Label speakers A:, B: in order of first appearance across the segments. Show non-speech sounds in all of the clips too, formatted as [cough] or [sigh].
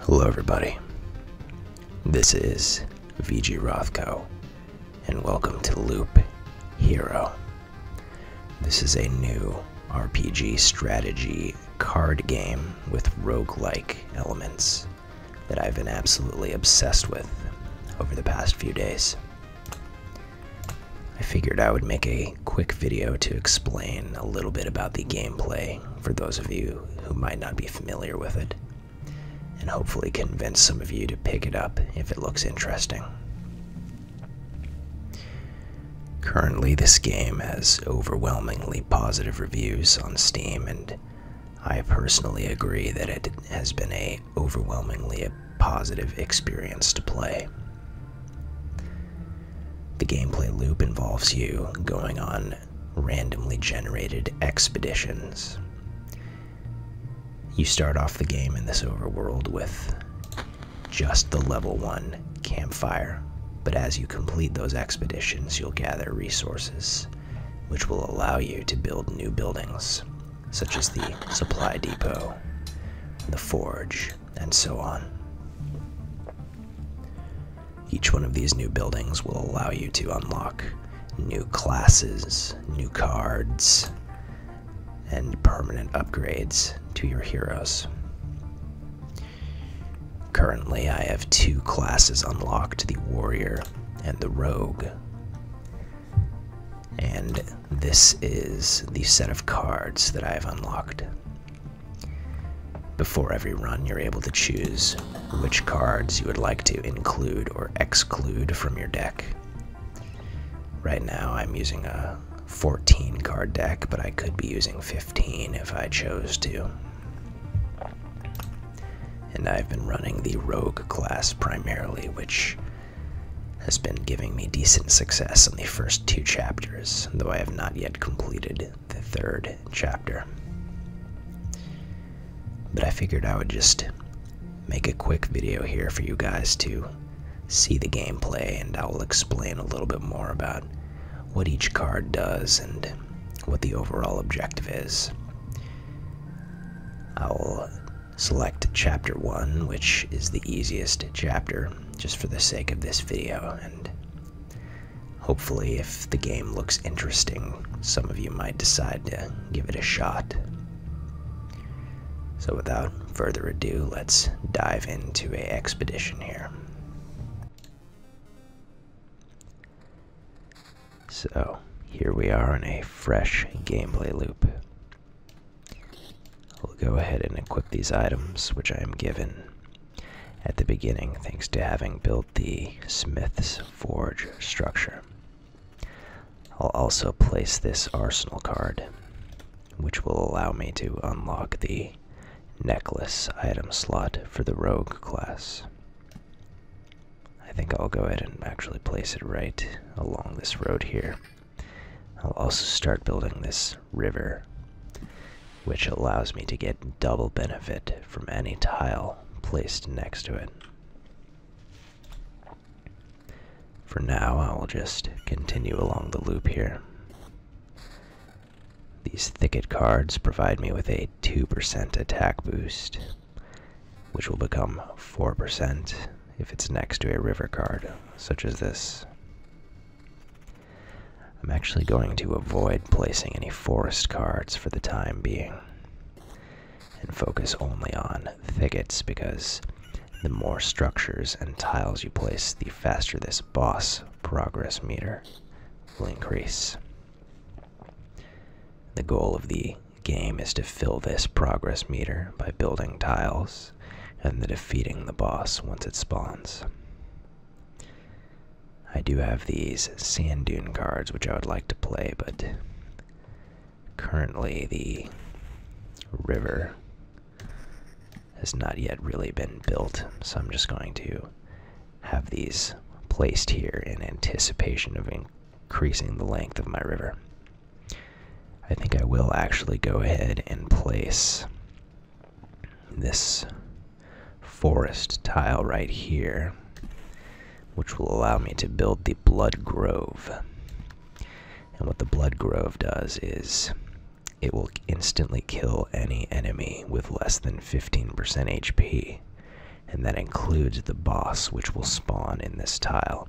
A: Hello, everybody. This is VG Rothko, and welcome to Loop Hero. This is a new RPG strategy card game with roguelike elements that I've been absolutely obsessed with over the past few days. I figured I would make a quick video to explain a little bit about the gameplay for those of you who might not be familiar with it, and hopefully convince some of you to pick it up if it looks interesting. Currently, this game has overwhelmingly positive reviews on Steam, and I personally agree that it has been a overwhelmingly positive experience to play. The gameplay loop involves you going on randomly generated expeditions. You start off the game in this overworld with just the level 1 campfire, but as you complete those expeditions, you'll gather resources, which will allow you to build new buildings, such as the supply depot, the forge, and so on. Each one of these new buildings will allow you to unlock new classes, new cards, and permanent upgrades to your heroes. Currently, I have two classes unlocked the Warrior and the Rogue. And this is the set of cards that I have unlocked. Before every run, you're able to choose which cards you would like to include or exclude from your deck. Right now, I'm using a 14 card deck, but I could be using 15 if I chose to. And I've been running the Rogue class primarily, which has been giving me decent success in the first two chapters though I have not yet completed the third chapter. But I figured I would just make a quick video here for you guys to see the gameplay, and I will explain a little bit more about what each card does and what the overall objective is. I'll select Chapter 1, which is the easiest chapter just for the sake of this video, and hopefully, if the game looks interesting, some of you might decide to give it a shot. So, without further ado, let's dive into a expedition here. So, here we are in a fresh gameplay loop i will go ahead and equip these items, which I am given at the beginning, thanks to having built the Smith's Forge structure. I'll also place this Arsenal card, which will allow me to unlock the necklace item slot for the Rogue class. I think I'll go ahead and actually place it right along this road here. I'll also start building this river, which allows me to get double benefit from any tile placed next to it. For now, I will just continue along the loop here. These thicket cards provide me with a 2% attack boost, which will become 4% if it's next to a river card, such as this. I'm actually going to avoid placing any forest cards for the time being and focus only on thickets because the more structures and tiles you place, the faster this boss progress meter will increase. The goal of the game is to fill this progress meter by building tiles and the defeating the boss once it spawns. I do have these sand dune cards which I would like to play, but currently the river has not yet really been built, so I'm just going to have these placed here in anticipation of increasing the length of my river. I think I will actually go ahead and place this forest tile right here, which will allow me to build the Blood Grove. And what the Blood Grove does is it will instantly kill any enemy with less than 15% HP. And that includes the boss, which will spawn in this tile.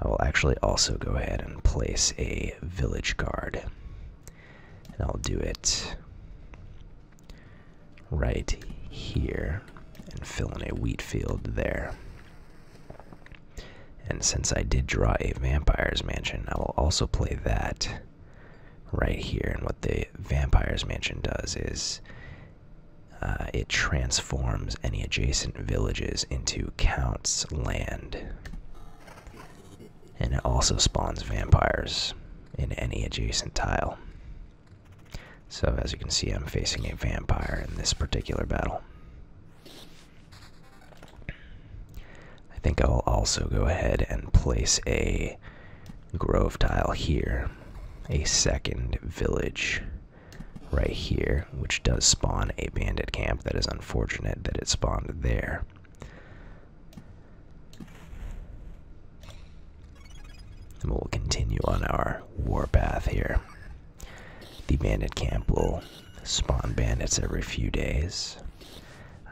A: I will actually also go ahead and place a village guard. And I'll do it right here and fill in a wheat field there. And since I did draw a vampire's mansion, I will also play that right here. And what the vampire's mansion does is uh, it transforms any adjacent villages into Count's land. And it also spawns vampires in any adjacent tile. So, as you can see, I'm facing a vampire in this particular battle. I think I'll also go ahead and place a grove tile here, a second village right here, which does spawn a bandit camp. That is unfortunate that it spawned there. And we'll continue on our warpath here. The bandit camp will spawn bandits every few days.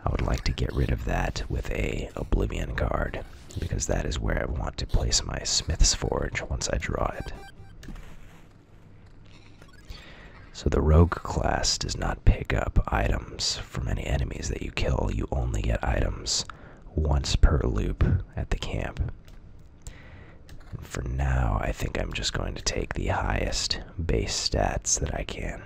A: I would like to get rid of that with a Oblivion Guard, because that is where I want to place my Smith's Forge once I draw it. So the rogue class does not pick up items from any enemies that you kill. You only get items once per loop at the camp. for now, I think I'm just going to take the highest base stats that I can.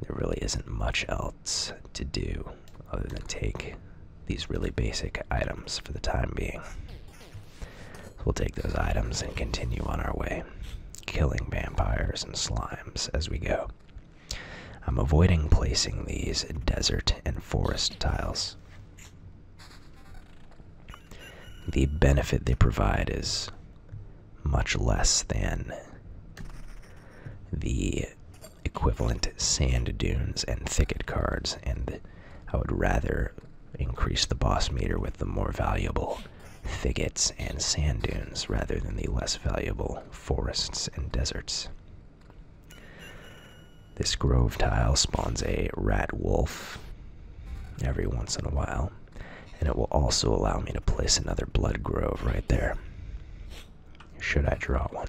A: There really isn't much else to do other than take these really basic items for the time being. We'll take those items and continue on our way, killing vampires and slimes as we go. I'm avoiding placing these desert and forest tiles. The benefit they provide is much less than the equivalent sand dunes and thicket cards, and I would rather increase the boss meter with the more valuable thickets and sand dunes rather than the less valuable forests and deserts. This grove tile spawns a rat wolf every once in a while, and it will also allow me to place another blood grove right there should I draw one.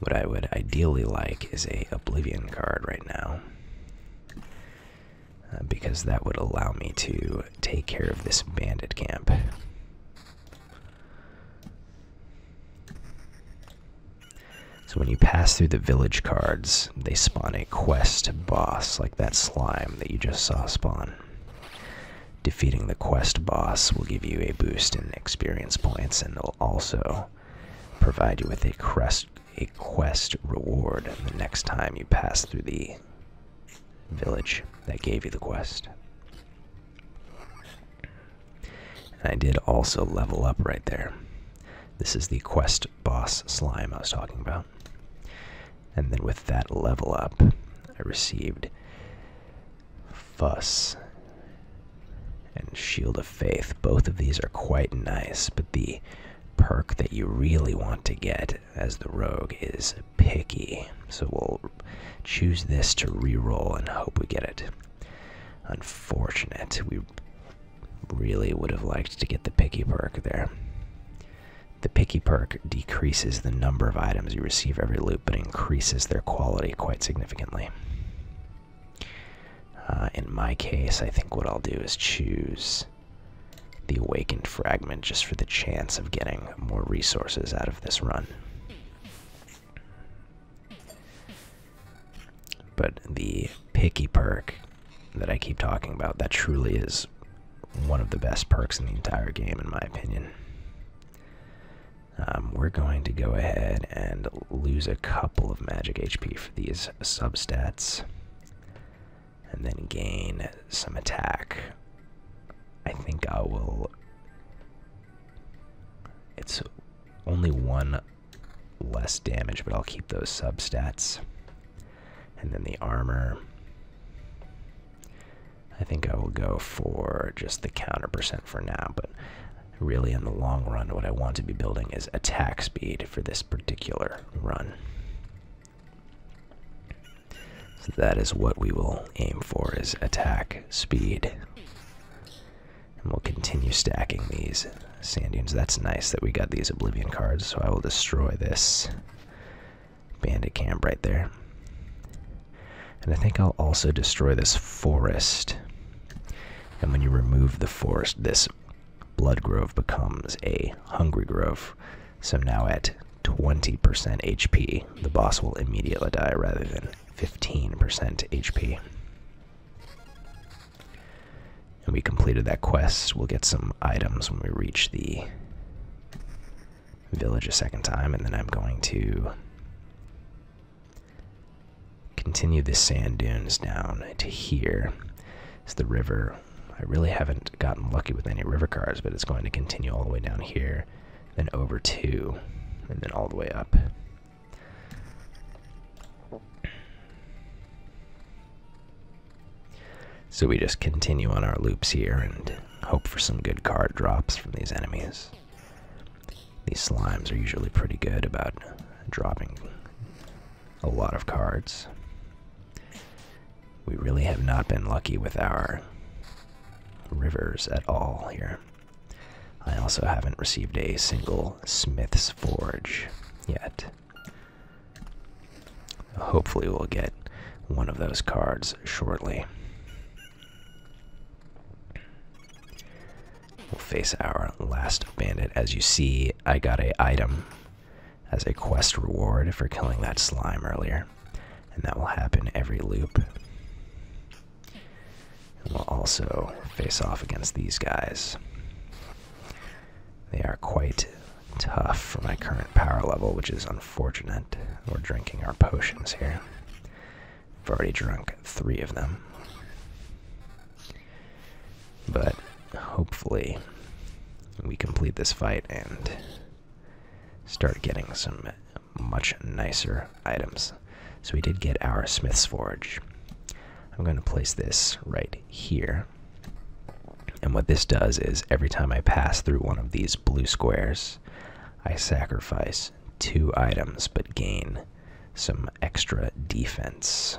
A: What I would ideally like is a Oblivion card right now. Uh, because that would allow me to take care of this bandit camp. So when you pass through the village cards, they spawn a quest boss, like that slime that you just saw spawn. Defeating the quest boss will give you a boost in experience points and it will also provide you with a crest a quest reward the next time you pass through the village that gave you the quest. And I did also level up right there. This is the quest boss slime I was talking about. And then with that level up, I received Fuss and Shield of Faith. Both of these are quite nice, but the perk that you really want to get as the rogue is Picky. So we'll choose this to reroll and hope we get it. Unfortunate. We really would have liked to get the Picky perk there. The picky perk decreases the number of items you receive every loop, but increases their quality quite significantly. Uh, in my case, I think what I'll do is choose the Awakened Fragment just for the chance of getting more resources out of this run. But the picky perk that I keep talking about, that truly is one of the best perks in the entire game, in my opinion. Um, we're going to go ahead and lose a couple of magic HP for these substats. And then gain some attack. I think I will... It's only one less damage, but I'll keep those substats and then the armor. I think I will go for just the counter percent for now, but really in the long run, what I want to be building is attack speed for this particular run. So that is what we will aim for is attack speed. And we'll continue stacking these sand dunes. That's nice that we got these Oblivion cards, so I will destroy this bandit camp right there. And I think I'll also destroy this forest. And when you remove the forest, this blood grove becomes a hungry grove. So now at 20% HP, the boss will immediately die rather than 15% HP. And we completed that quest. We'll get some items when we reach the village a second time, and then I'm going to continue the sand dunes down to here. Is the river. I really haven't gotten lucky with any river cars, but it's going to continue all the way down here, then over to, and then all the way up. So we just continue on our loops here and hope for some good card drops from these enemies. These slimes are usually pretty good about dropping a lot of cards. We really have not been lucky with our rivers at all here. I also haven't received a single Smith's Forge yet. Hopefully, we'll get one of those cards shortly. We'll face our last bandit. As you see, I got a item as a quest reward for killing that slime earlier. And that will happen every loop. we'll also face off against these guys. They are quite tough for my current power level, which is unfortunate. We're drinking our potions here. I've already drunk three of them. But hopefully, we complete this fight and start getting some much nicer items. So we did get our Smith's Forge. I'm going to place this right here. And what this does is every time I pass through one of these blue squares, I sacrifice two items but gain some extra defense.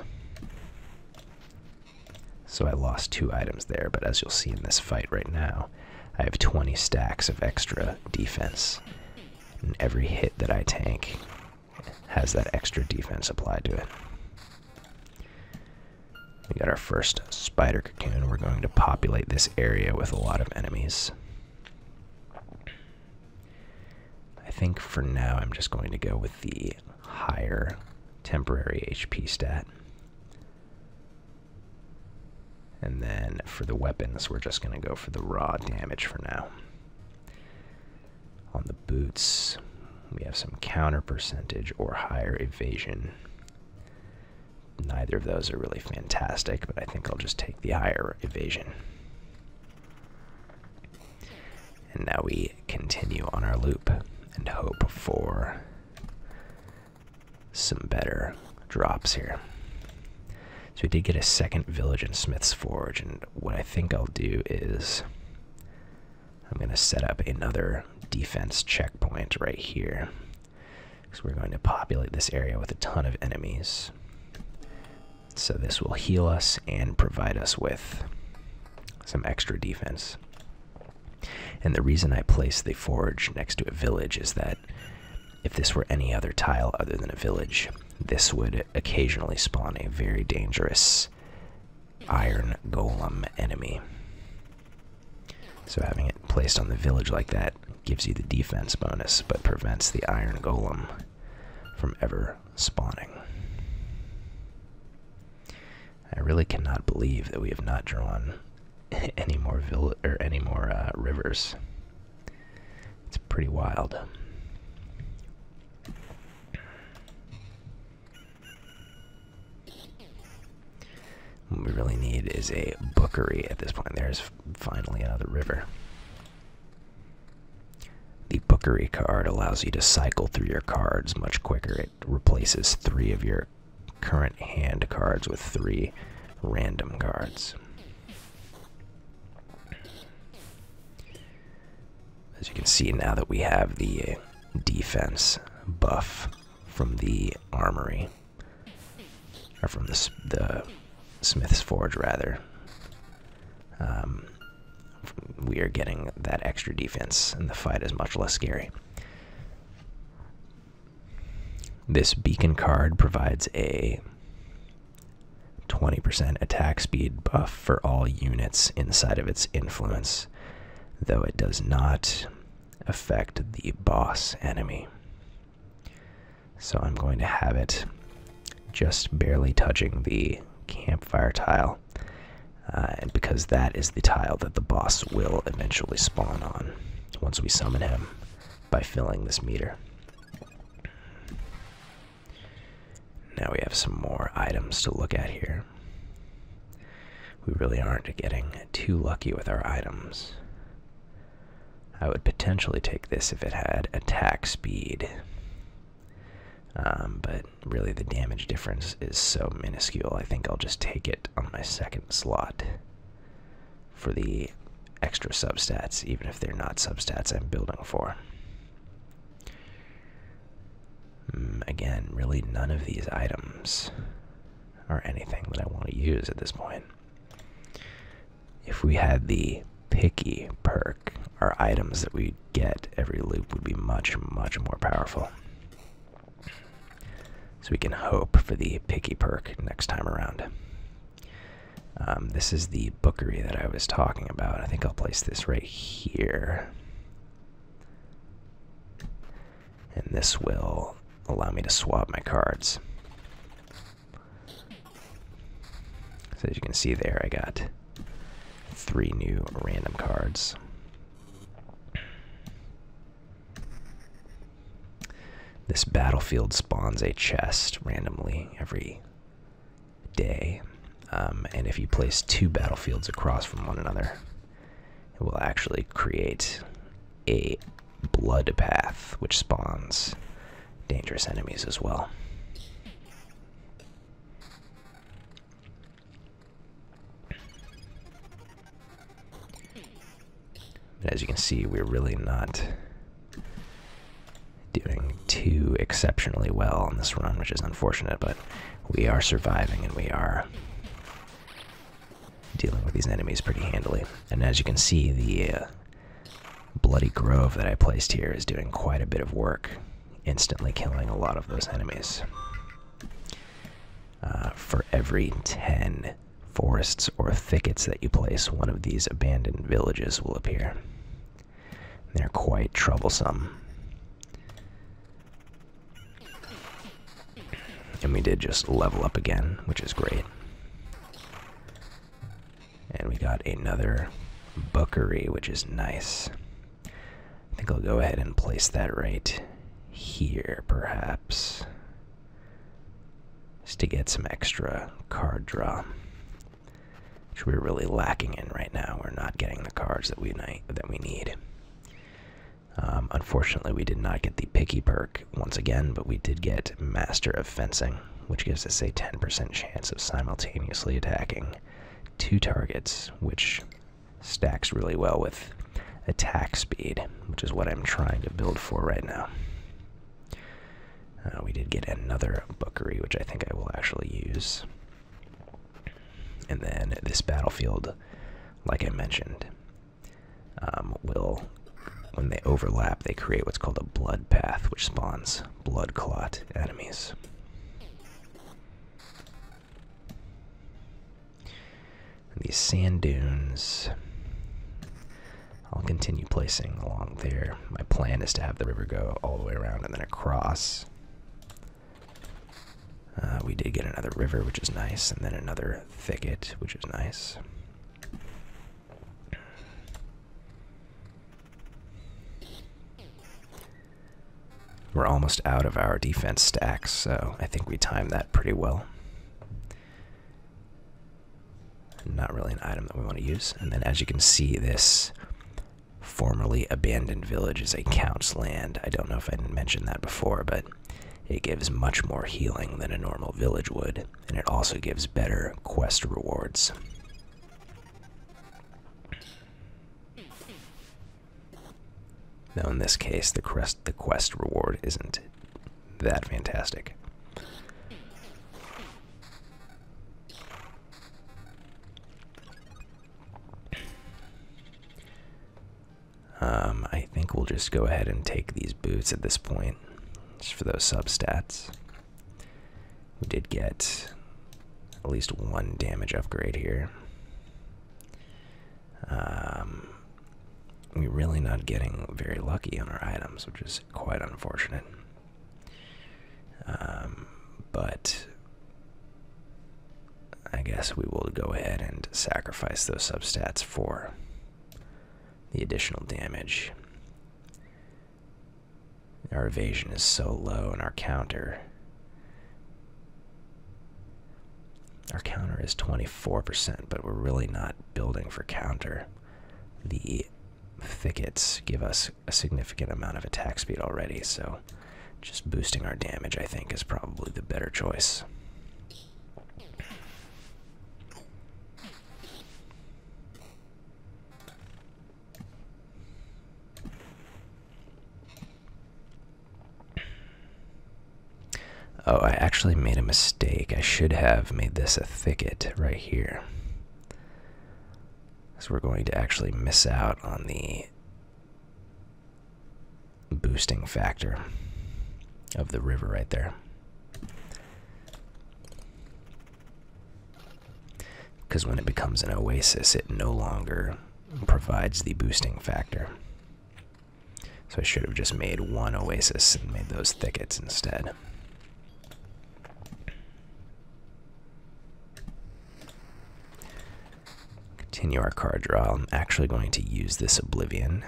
A: So I lost two items there, but as you'll see in this fight right now, I have 20 stacks of extra defense. And every hit that I tank has that extra defense applied to it. We got our first spider cocoon. We're going to populate this area with a lot of enemies. I think for now I'm just going to go with the higher temporary HP stat. And then for the weapons, we're just going to go for the raw damage for now. On the boots, we have some counter percentage or higher evasion. Neither of those are really fantastic, but I think I'll just take the higher evasion. And now we continue on our loop and hope for some better drops here. So we did get a second village in Smith's Forge, and what I think I'll do is I'm going to set up another defense checkpoint right here. Because we're going to populate this area with a ton of enemies. So this will heal us and provide us with some extra defense. And the reason I place the forge next to a village is that if this were any other tile other than a village, this would occasionally spawn a very dangerous iron golem enemy. So having it placed on the village like that gives you the defense bonus, but prevents the iron golem from ever spawning. I really cannot believe that we have not drawn [laughs] any more vill or any more uh, rivers. It's pretty wild. What we really need is a bookery at this point. There's finally another river. The bookery card allows you to cycle through your cards much quicker. It replaces three of your current hand cards with three random cards. As you can see, now that we have the defense buff, from the armory, or from the the smith's forge rather. Um, we are getting that extra defense, and the fight is much less scary. This beacon card provides a 20% attack speed buff for all units inside of its influence, though it does not affect the boss enemy. So I'm going to have it just barely touching the campfire tile. Uh, and because that is the tile that the boss will eventually spawn on once we summon him by filling this meter. Now we have some more items to look at here. We really aren't getting too lucky with our items. I would potentially take this if it had attack speed. Um, but really, the damage difference is so minuscule, I think I'll just take it on my second slot for the extra substats, even if they're not substats I'm building for. Mm, again, really none of these items are anything that I want to use at this point. If we had the picky perk, our items that we get every loop would be much, much more powerful. So we can hope for the picky perk next time around. Um, this is the bookery that I was talking about. I think I'll place this right here. And this will allow me to swap my cards. So as you can see there, I got three new random cards. This battlefield spawns a chest randomly every day. Um, and if you place two battlefields across from one another, it will actually create a blood path, which spawns dangerous enemies as well. as you can see, we're really not doing too exceptionally well on this run, which is unfortunate, but we are surviving and we are dealing with these enemies pretty handily. And as you can see, the uh, bloody grove that I placed here is doing quite a bit of work, instantly killing a lot of those enemies. Uh, for every 10 forests or thickets that you place, one of these abandoned villages will appear. They're quite troublesome. And we did just level up again, which is great. And we got another Bookery, which is nice. I think I'll go ahead and place that right here, perhaps. Just to get some extra card draw. Which we're really lacking in right now. We're not getting the cards that we, that we need. Um, unfortunately, we did not get the picky perk once again, but we did get Master of Fencing, which gives us a 10% chance of simultaneously attacking two targets, which stacks really well with attack speed, which is what I'm trying to build for right now. Uh, we did get another bookery, which I think I will actually use. And then this battlefield, like I mentioned, um, will, when they overlap, they create what's called a blood path, which spawns blood clot enemies. these sand dunes, I'll continue placing along there. My plan is to have the river go all the way around and then across. Uh, we did get another river, which is nice, and then another thicket, which is nice. We're almost out of our defense stacks, so I think we timed that pretty well. Not really an item that we want to use. And then as you can see, this formerly abandoned village is a count's land. I don't know if I didn't mention that before, but it gives much more healing than a normal village would, and it also gives better quest rewards. Now, in this case, the quest, the quest reward isn't that fantastic. Um, I think we'll just go ahead and take these boots at this point, just for those substats. We did get at least one damage upgrade here. Um, we're really not getting very lucky on our items, which is quite unfortunate. Um, but I guess we will go ahead and sacrifice those substats for the additional damage. Our evasion is so low, and our counter. Our counter is 24%, but we're really not building for counter. The thickets give us a significant amount of attack speed already, so just boosting our damage, I think, is probably the better choice. Oh, I actually made a mistake. I should have made this a thicket right here. So we're going to actually miss out on the boosting factor of the river right there. Because when it becomes an oasis, it no longer provides the boosting factor. So I should have just made one oasis and made those thickets instead. Continue our card draw. I'm actually going to use this Oblivion.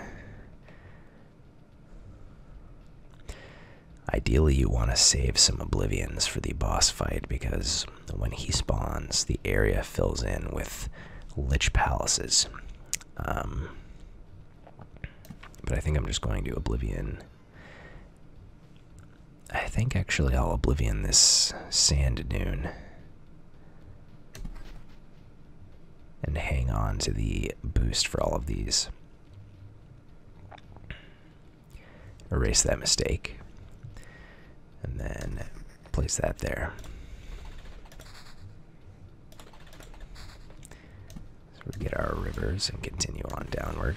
A: Ideally, you want to save some Oblivions for the boss fight because when he spawns, the area fills in with Lich Palaces. Um, but I think I'm just going to Oblivion. I think actually I'll Oblivion this Sand Dune and hang on to the boost for all of these. Erase that mistake. And then place that there. So we get our rivers and continue on downward.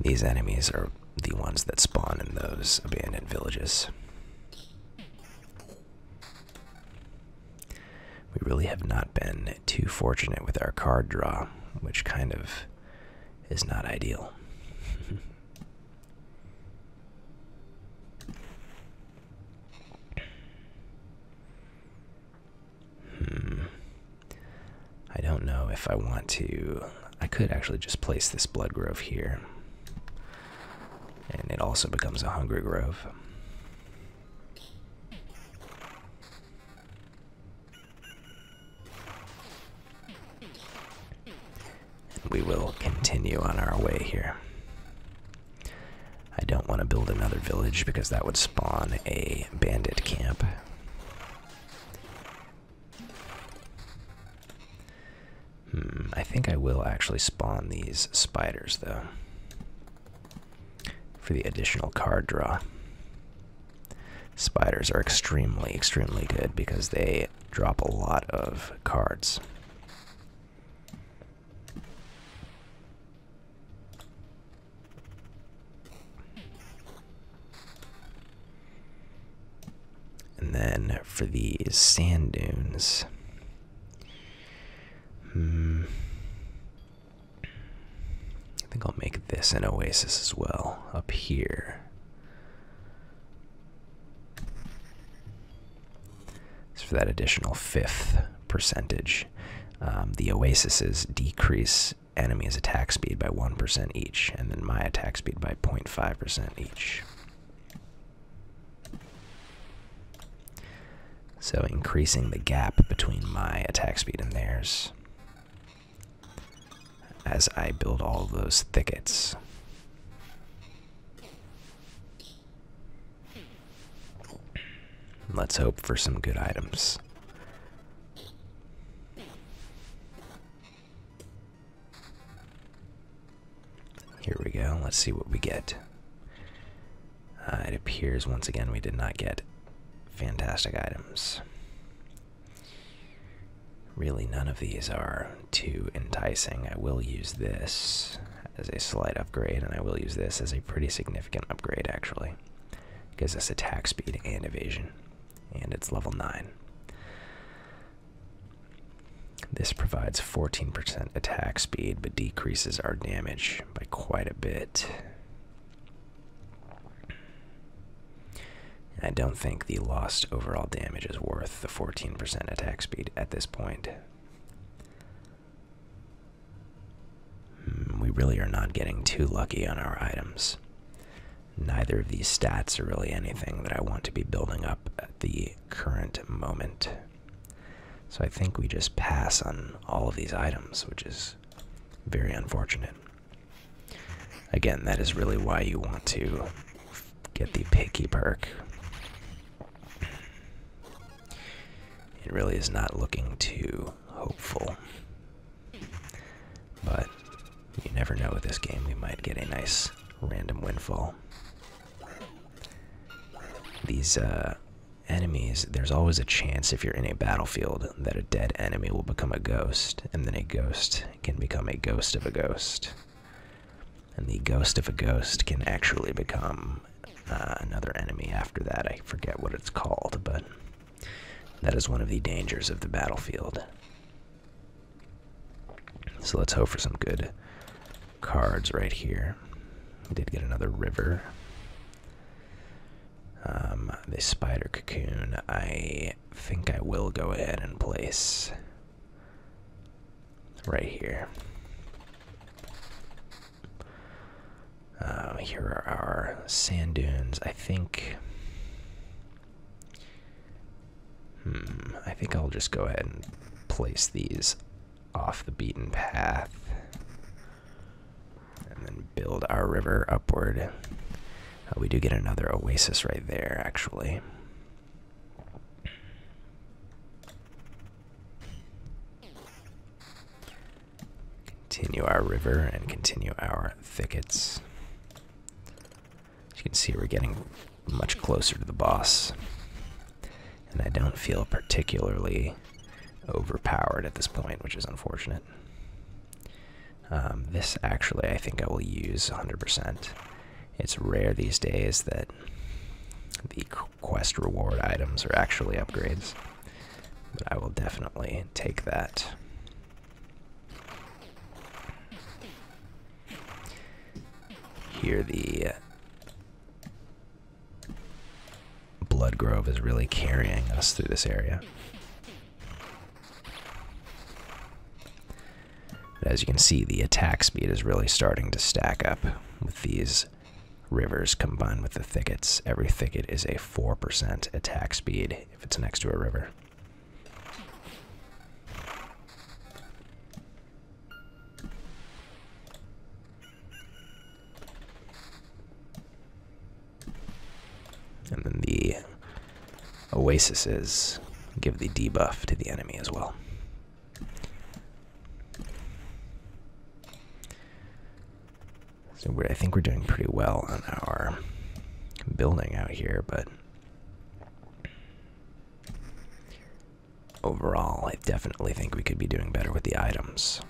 A: These enemies are the ones that spawn in those abandoned villages. We really have not been too fortunate with our card draw, which kind of is not ideal. Hmm. I don't know if I want to. I could actually just place this blood grove here. And it also becomes a hungry grove. we will continue on our way here. I don't want to build another village because that would spawn a bandit camp. Hmm, I think I will actually spawn these spiders though. For the additional card draw. Spiders are extremely, extremely good because they drop a lot of cards. And then for the sand dunes. Hmm. I think I'll make this an oasis as well, up here. It's for that additional fifth percentage. Um, the oasises decrease enemies' attack speed by 1% each, and then my attack speed by 0.5% each. So increasing the gap between my attack speed and theirs as I build all those thickets. Let's hope for some good items. Here we go. Let's see what we get. Uh, it appears once again we did not get fantastic items. Really, none of these are too enticing. I will use this as a slight upgrade, and I will use this as a pretty significant upgrade, actually. Gives us attack speed and evasion. And it's level 9. This provides 14% attack speed, but decreases our damage by quite a bit. I don't think the lost overall damage is worth the 14% attack speed at this point. Hmm, we really are not getting too lucky on our items. Neither of these stats are really anything that I want to be building up at the current moment. So I think we just pass on all of these items, which is very unfortunate. Again, that is really why you want to get the picky perk. It really is not looking too hopeful. But you never know with this game, we might get a nice random windfall. These uh, enemies, there's always a chance if you're in a battlefield that a dead enemy will become a ghost, and then a ghost can become a ghost of a ghost. And the ghost of a ghost can actually become uh, another enemy after that. I forget what it's called, but that is one of the dangers of the battlefield. So let's hope for some good cards right here. We did get another river. Um, this spider cocoon, I think I will go ahead and place right here. Um, here are our sand dunes. I think. Hmm. I think I'll just go ahead and place these off the beaten path, and then build our river upward. Uh, we do get another oasis right there, actually. Continue our river and continue our thickets. As you can see, we're getting much closer to the boss. And I don't feel particularly overpowered at this point, which is unfortunate. Um, this actually, I think I will use 100%. It's rare these days that the quest reward items are actually upgrades. But I will definitely take that. Here the Blood Grove is really carrying us through this area. as you can see, the attack speed is really starting to stack up with these rivers combined with the thickets. Every thicket is a 4% attack speed if it's next to a river. And then the oases give the debuff to the enemy as well. So we're, I think we're doing pretty well on our building out here, but overall, I definitely think we could be doing better with the items.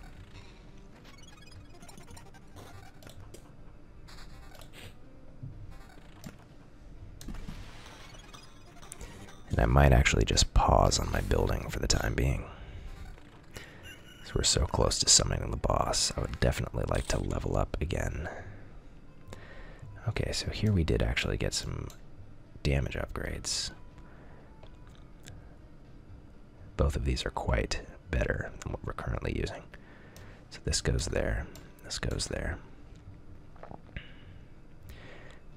A: And I might actually just pause on my building for the time being. So we're so close to summoning the boss. I would definitely like to level up again. Okay, so here we did actually get some damage upgrades. Both of these are quite better than what we're currently using. So this goes there, this goes there.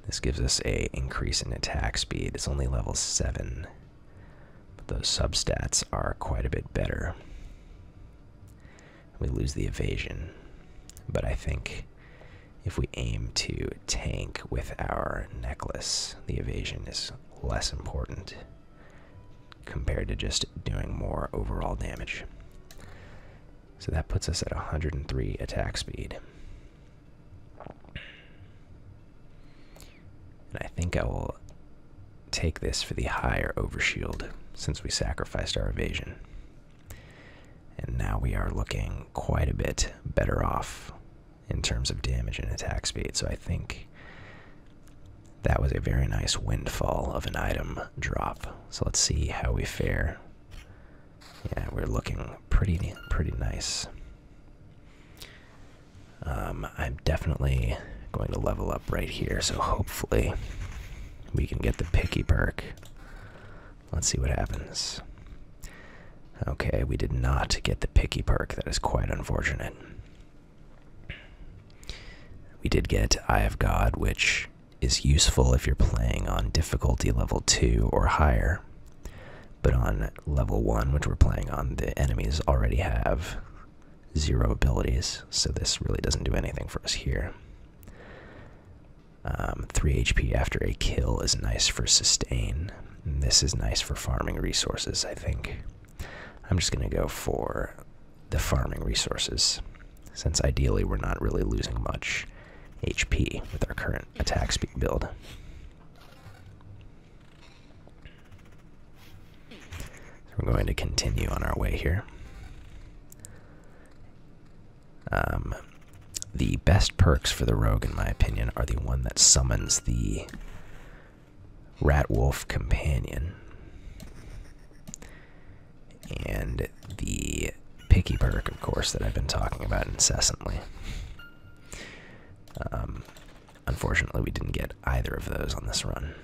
A: This gives us a increase in attack speed. It's only level 7 those substats are quite a bit better. We lose the evasion. But I think if we aim to tank with our necklace, the evasion is less important compared to just doing more overall damage. So that puts us at 103 attack speed. And I think I will take this for the higher overshield since we sacrificed our evasion. And now we are looking quite a bit better off in terms of damage and attack speed. So I think that was a very nice windfall of an item drop. So let's see how we fare. Yeah, we're looking pretty pretty nice. Um, I'm definitely going to level up right here, so hopefully we can get the picky perk. Let's see what happens. Okay, we did not get the picky perk. That is quite unfortunate. We did get Eye of God, which is useful if you're playing on difficulty level 2 or higher. But on level 1, which we're playing on, the enemies already have zero abilities, so this really doesn't do anything for us here. Um, 3 HP after a kill is nice for sustain. And this is nice for farming resources, I think. I'm just going to go for the farming resources, since ideally we're not really losing much HP with our current attack speed build. We're going to continue on our way here. Um, the best perks for the rogue, in my opinion, are the one that summons the rat wolf companion and the picky perk, of course, that I've been talking about incessantly. Um, unfortunately, we didn't get either of those on this run.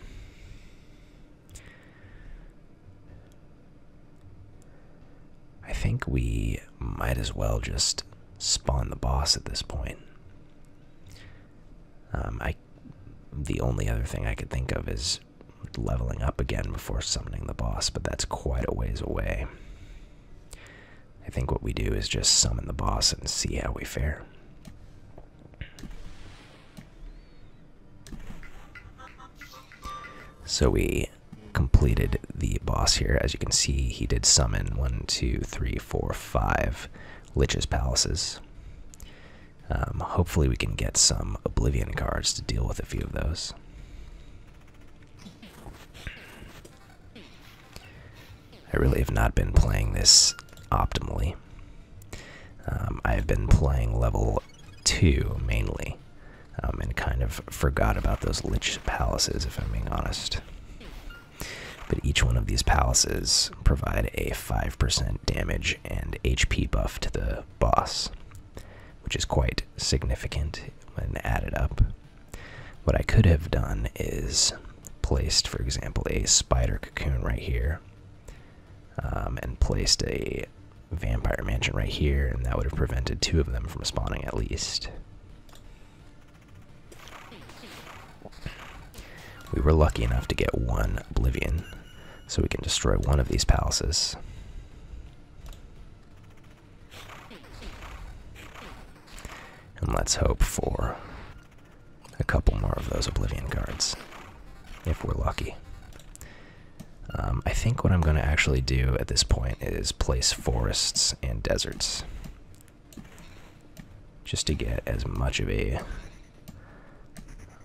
A: I think we might as well just spawn the boss at this point. Um, I, the only other thing I could think of is leveling up again before summoning the boss, but that's quite a ways away. I think what we do is just summon the boss and see how we fare. So we completed the boss here. As you can see, he did summon one, two, three, four, five Lich's Palaces. Um, hopefully we can get some Oblivion cards to deal with a few of those. I really have not been playing this optimally. Um, I've been playing level 2 mainly, um, and kind of forgot about those Lich Palaces, if I'm being honest. But each one of these palaces provide a 5% damage and HP buff to the boss, which is quite significant when added up. What I could have done is placed, for example, a spider cocoon right here, um, and placed a vampire mansion right here, and that would have prevented two of them from spawning at least. We were lucky enough to get one Oblivion, so we can destroy one of these palaces. And let's hope for a couple more of those Oblivion Guards, if we're lucky. Um, I think what I'm going to actually do at this point is place forests and deserts. Just to get as much of a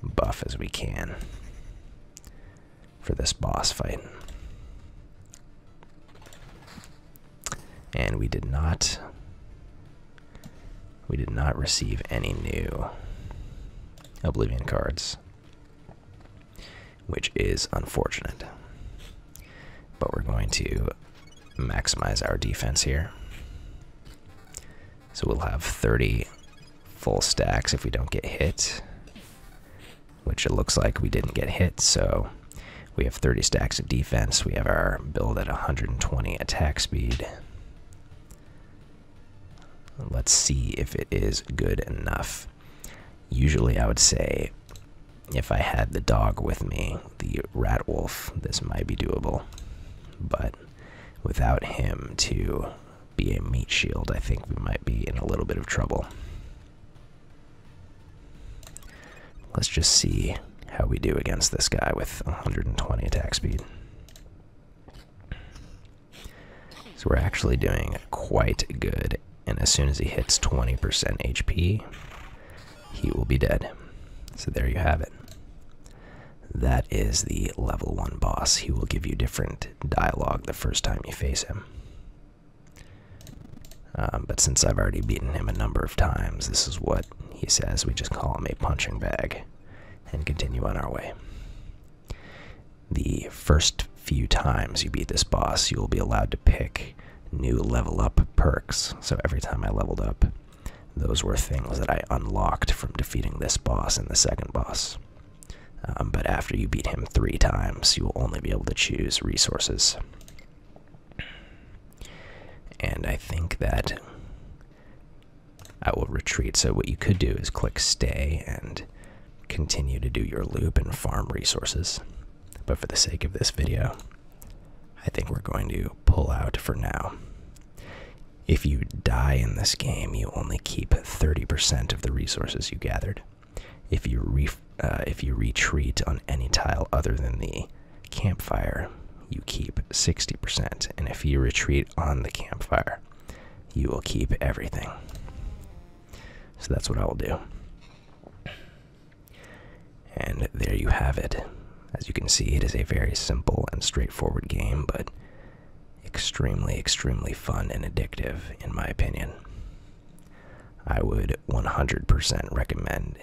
A: buff as we can for this boss fight and we did not we did not receive any new oblivion cards which is unfortunate but we're going to maximize our defense here so we'll have 30 full stacks if we don't get hit which it looks like we didn't get hit, so we have 30 stacks of defense. We have our build at 120 attack speed. Let's see if it is good enough. Usually I would say if I had the dog with me, the rat wolf, this might be doable. But without him to be a meat shield, I think we might be in a little bit of trouble. Let's just see how we do against this guy with 120 attack speed. So we're actually doing quite good. And as soon as he hits 20% HP, he will be dead. So there you have it. That is the level 1 boss. He will give you different dialogue the first time you face him. Um, but since I've already beaten him a number of times, this is what he says. We just call him a punching bag and continue on our way. The first few times you beat this boss, you will be allowed to pick new level up perks. So every time I leveled up, those were things that I unlocked from defeating this boss and the second boss. Um, but after you beat him three times, you will only be able to choose resources. And I think that I will retreat. So, what you could do is click stay and continue to do your loop and farm resources. But for the sake of this video, I think we're going to pull out for now. If you die in this game, you only keep 30% of the resources you gathered if you uh, if you retreat on any tile other than the campfire you keep 60% and if you retreat on the campfire you will keep everything so that's what i will do and there you have it as you can see it is a very simple and straightforward game but extremely extremely fun and addictive in my opinion i would 100% recommend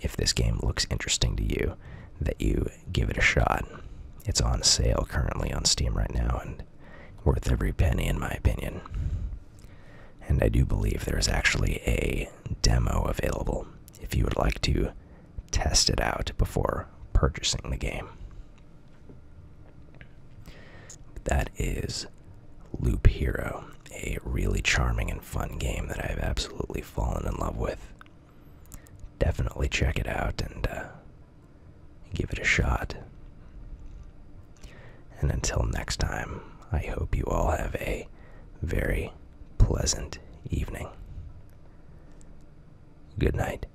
A: if this game looks interesting to you that you give it a shot. It's on sale currently on Steam right now and worth every penny, in my opinion. And I do believe there is actually a demo available if you would like to test it out before purchasing the game. that is Loop Hero a really charming and fun game that I've absolutely fallen in love with. Definitely check it out and uh, give it a shot. And until next time, I hope you all have a very pleasant evening. Good night.